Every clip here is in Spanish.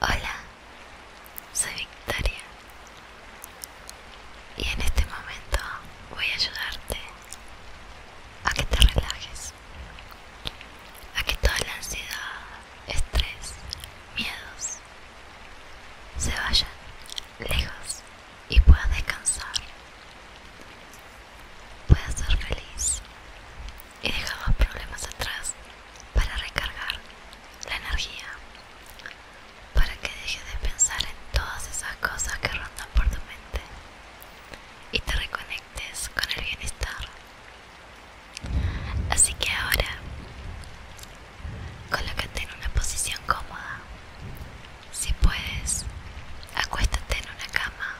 Hola, soy Victoria y en este momento voy a ayudarte a que te relajes, a que toda la ansiedad, estrés, miedos se vayan lejos y puedas descansar, puedas ser feliz y los problemas atrás para recargar la energía, para que dejes de pensar en todas esas cosas que rondan por tu mente y te reconectes con el bienestar. Así que ahora, colócate en una posición cómoda. Si puedes, acuéstate en una cama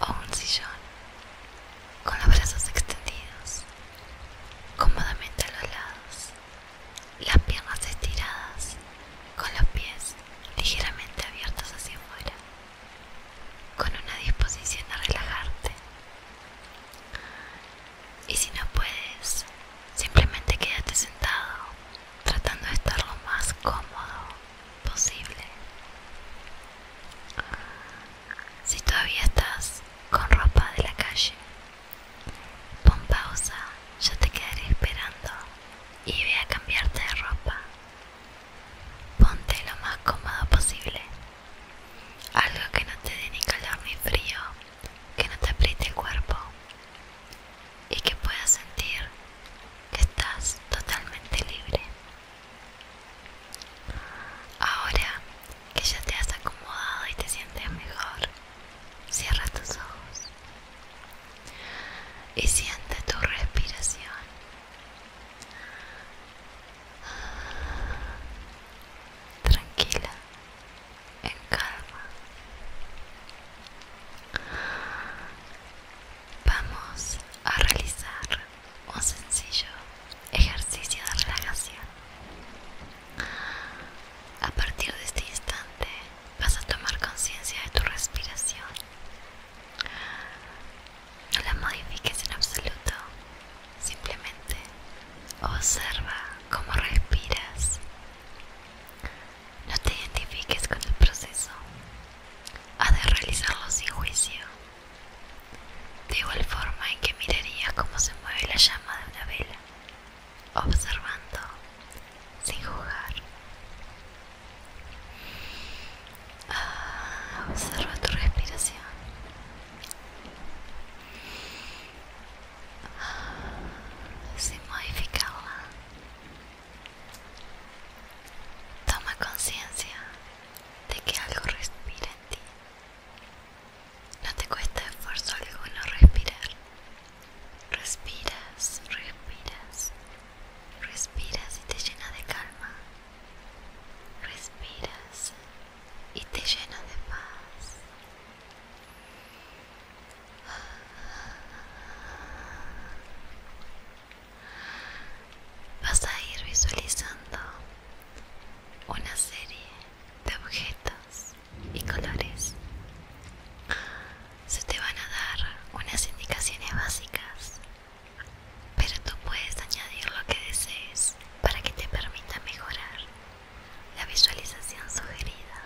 o un sillón con los brazos extendidos, cómodamente a los lados, las piernas estiradas, con los pies ligeramente abiertos hacia afuera, con una disposición a relajarte. Y si no puedes, simplemente quédate sentado, tratando de estar lo más cómodo posible. Si todavía estás con ropa de la calle, pon pausa, yo te quedaré esperando y ve a cambiarte de ropa. Ponte lo más cómodo posible, algo que no te dé ni calor ni frío, que no te apriete el cuerpo y que puedas sentir que estás totalmente libre. Ahora que ya te has acomodado y te sientes mejor, cierra tus ojos y siente tu respiración. Tranquila, en calma. Vamos a realizar un sencillo ejercicio de relajación. A partir de este instante vas a tomar conciencia de tu respiración. No la modifiques en absoluto, simplemente observa cómo respiras. No te identifiques con el proceso. Has de realizarlo sin juicio de igual forma en que mirarías cómo se mueve la llama de una vela, observando, sin jugar. Ah, observa tu respiración. Se ah, sin modificarla. Toma conciencia de que algo respira en ti. No te cuesta esfuerzo alguno respirar. Respiras, respiras, respiras y te llena de calma. Respiras y te llena de paz vas a ir visualizando una serie de objetos y colores. Se te van a dar unas indicaciones básicas, pero tú puedes añadir lo que desees para que te permita mejorar la visualización sugerida.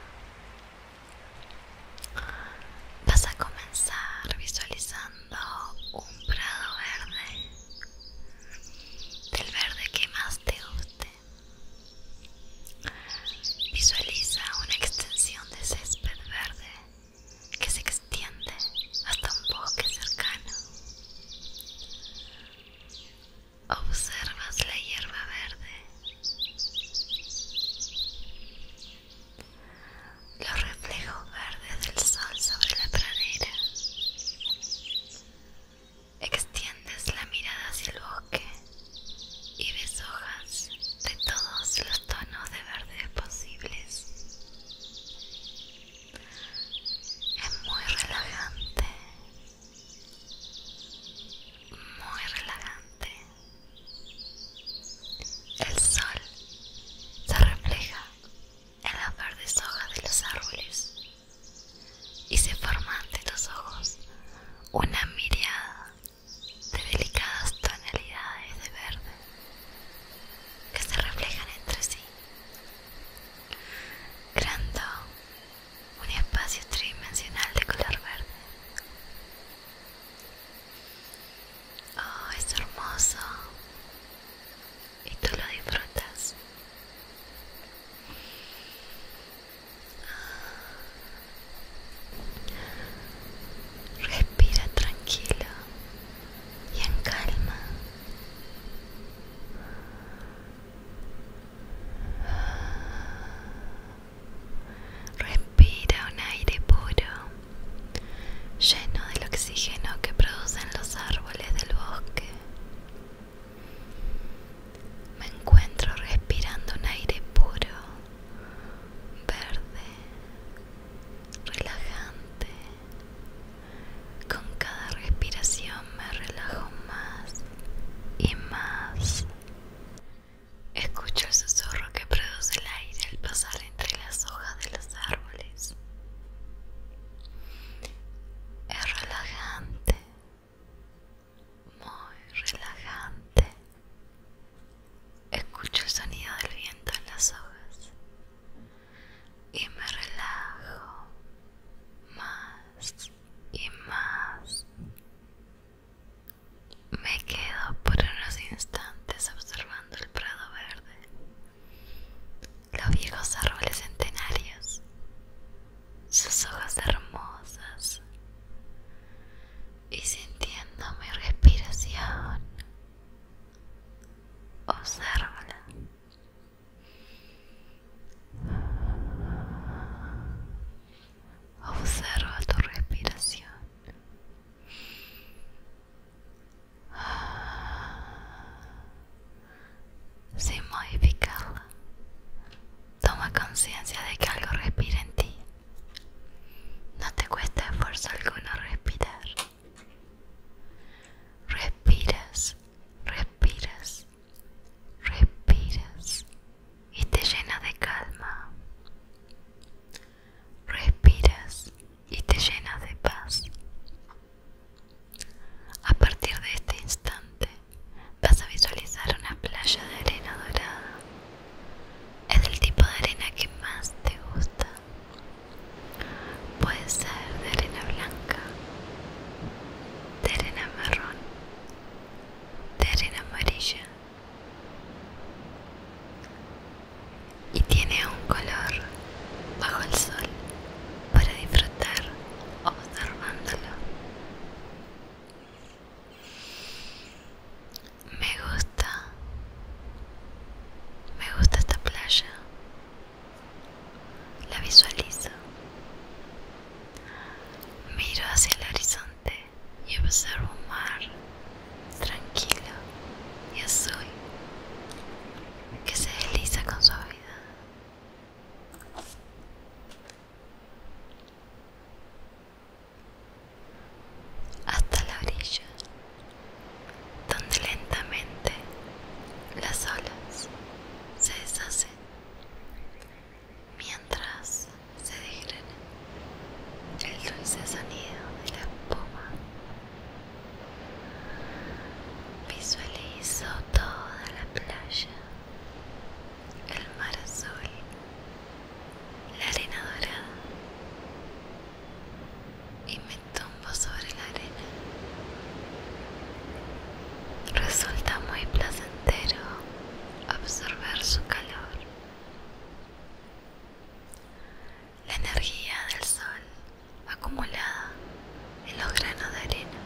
Vas a comenzar visualizando un prado verde del verde que más te guste visualiza una extensión de césped verde que se extiende hasta un bosque cercano observas la hierba verde los reflejos verdes del sol sobre la pradera. Extiendes la mirada hacia el bosque y ves hojas de todos los tonos de verde posibles. Es muy relajante, muy relajante. El sol se refleja en las verdes hojas de los árboles y se forma ante los ojos una mirada de delicadas tonalidades de verde que se reflejan entre sí, creando un espacio tridimensional de color verde. Oh, es hermoso y tú lo disfrutas. Respira tranquilo y en calma. Respira un aire puro lleno del oxígeno que producen los árboles del bosque. Me encuentro respirando un aire puro, verde, relajante. Con cada respiración me relajo más y más. Escucho el susurro que produce el aire al pasar entre las hojas de los árboles es relajante muy relajante escucho el sonido del viento en las hojas y me relajo más y más me quedo por unos instantes observando el prado verde los viejos árboles centenarios, sus hojas hermosas y sintiendo mi respiración, Observa Observa tu respiración. Sin modificarla, toma conciencia de que algo respira en ti. No te cuesta esfuerzo alguno respirar. Respiras, respiras, respiras y te llena de calma. Respiras, y te llenas de paz. A partir de este instante vas a visualizar una playa de arena dorada. Es el tipo de arena que más te gusta. Puede ser de arena blanca, de arena marrón, de arena amarilla, y tiene un color bajo el sol para disfrutar observándolo. Me gusta, me gusta esta playa, la visualizo, miro hacia el horizonte y observo un mar tranquilo y azul que se desliza con suavidad. Hasta la orilla, donde lentamente las olas se deshacen mientras se degrana el dulce sonido de la espuma Visualizo toda la playa, el mar azul, la arena dorada y me tumbo sobre la arena. Resulta muy placentero absorber su calor la energía del sol acumulada en los granos de arena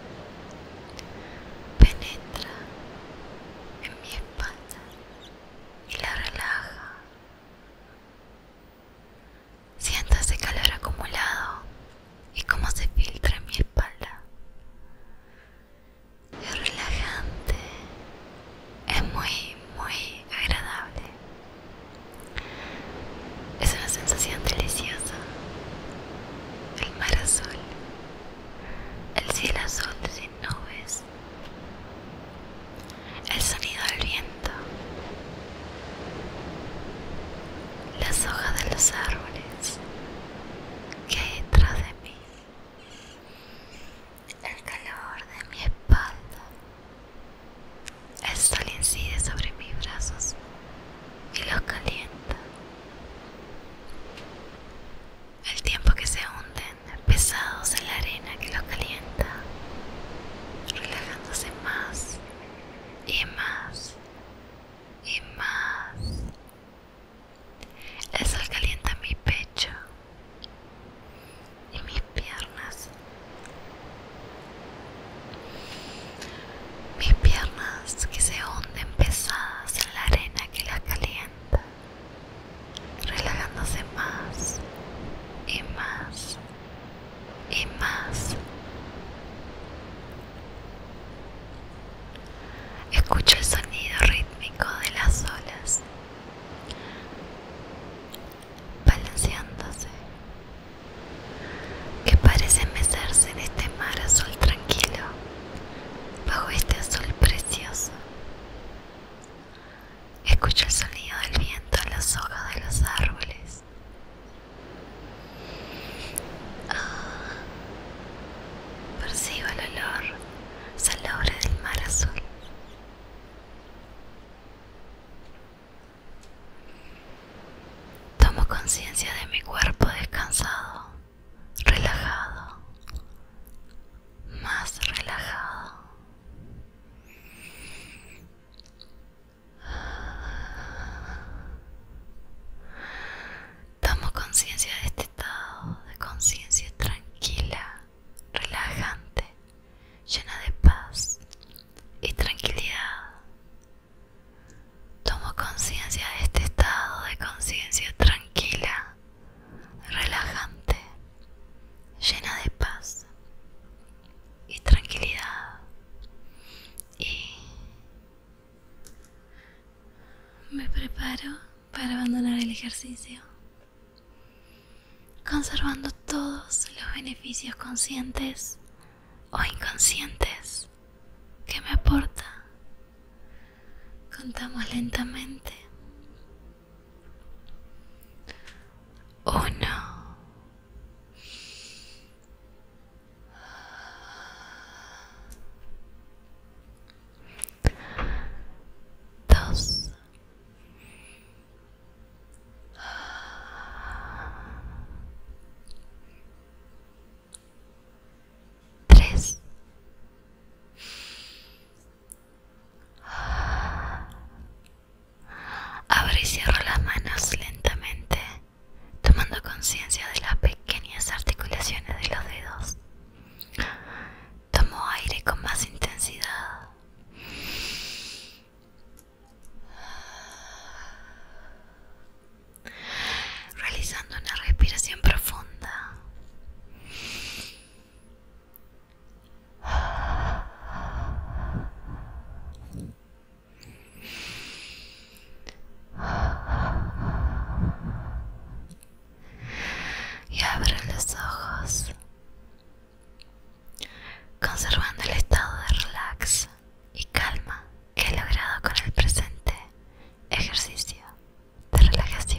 penetra en mi espalda y la relaja. Siento ese calor acumulado y cómo se filtra en mi espalda. Es relajante, es muy, muy agradable. Es una sensación deliciosa. El mar azul, el cielo azul sin nubes, el sonido del viento, las hojas de los árboles que hay detrás de mí, el calor de mi espalda el sol incide sobre mis brazos y los calienta. El tiempo que se hunden pesados en la arena que los calienta, relajándose más y más y más. El sol calienta mi pecho y mis piernas. Mis piernas que se hunden pesadas en la arena que las calienta, relajándose más y más y más. Escucho el sonido rítmico de las olas balanceándose, que parece mecerse en este mar azul tranquilo, bajo este azul precioso. Escucho el sonido del viento en las hojas de los árboles. Ah, percibo el olor salobre del mar azul. Tomo conciencia de mi cuerpo descansado, relajado, más relajado. Tomo conciencia de este estado de conciencia tranquila, relajante, llena de paz y tranquilidad. Tomo conciencia de este estado de conciencia tranquila, relajante, llena de paz y tranquilidad. Y me preparo para abandonar el ejercicio conservando todos los beneficios conscientes o inconscientes que me aporta. Contamos lentamente. Uno. Dos. Tres. Abro y cierro las manos lentamente, tomando conciencia de las pequeñas articulaciones de los dedos. Tomo aire con más intensidad realizando una respiración profunda. Y abre los ojos. Conservando el estado de relax y calma que he logrado con el presente ejercicio de relajación.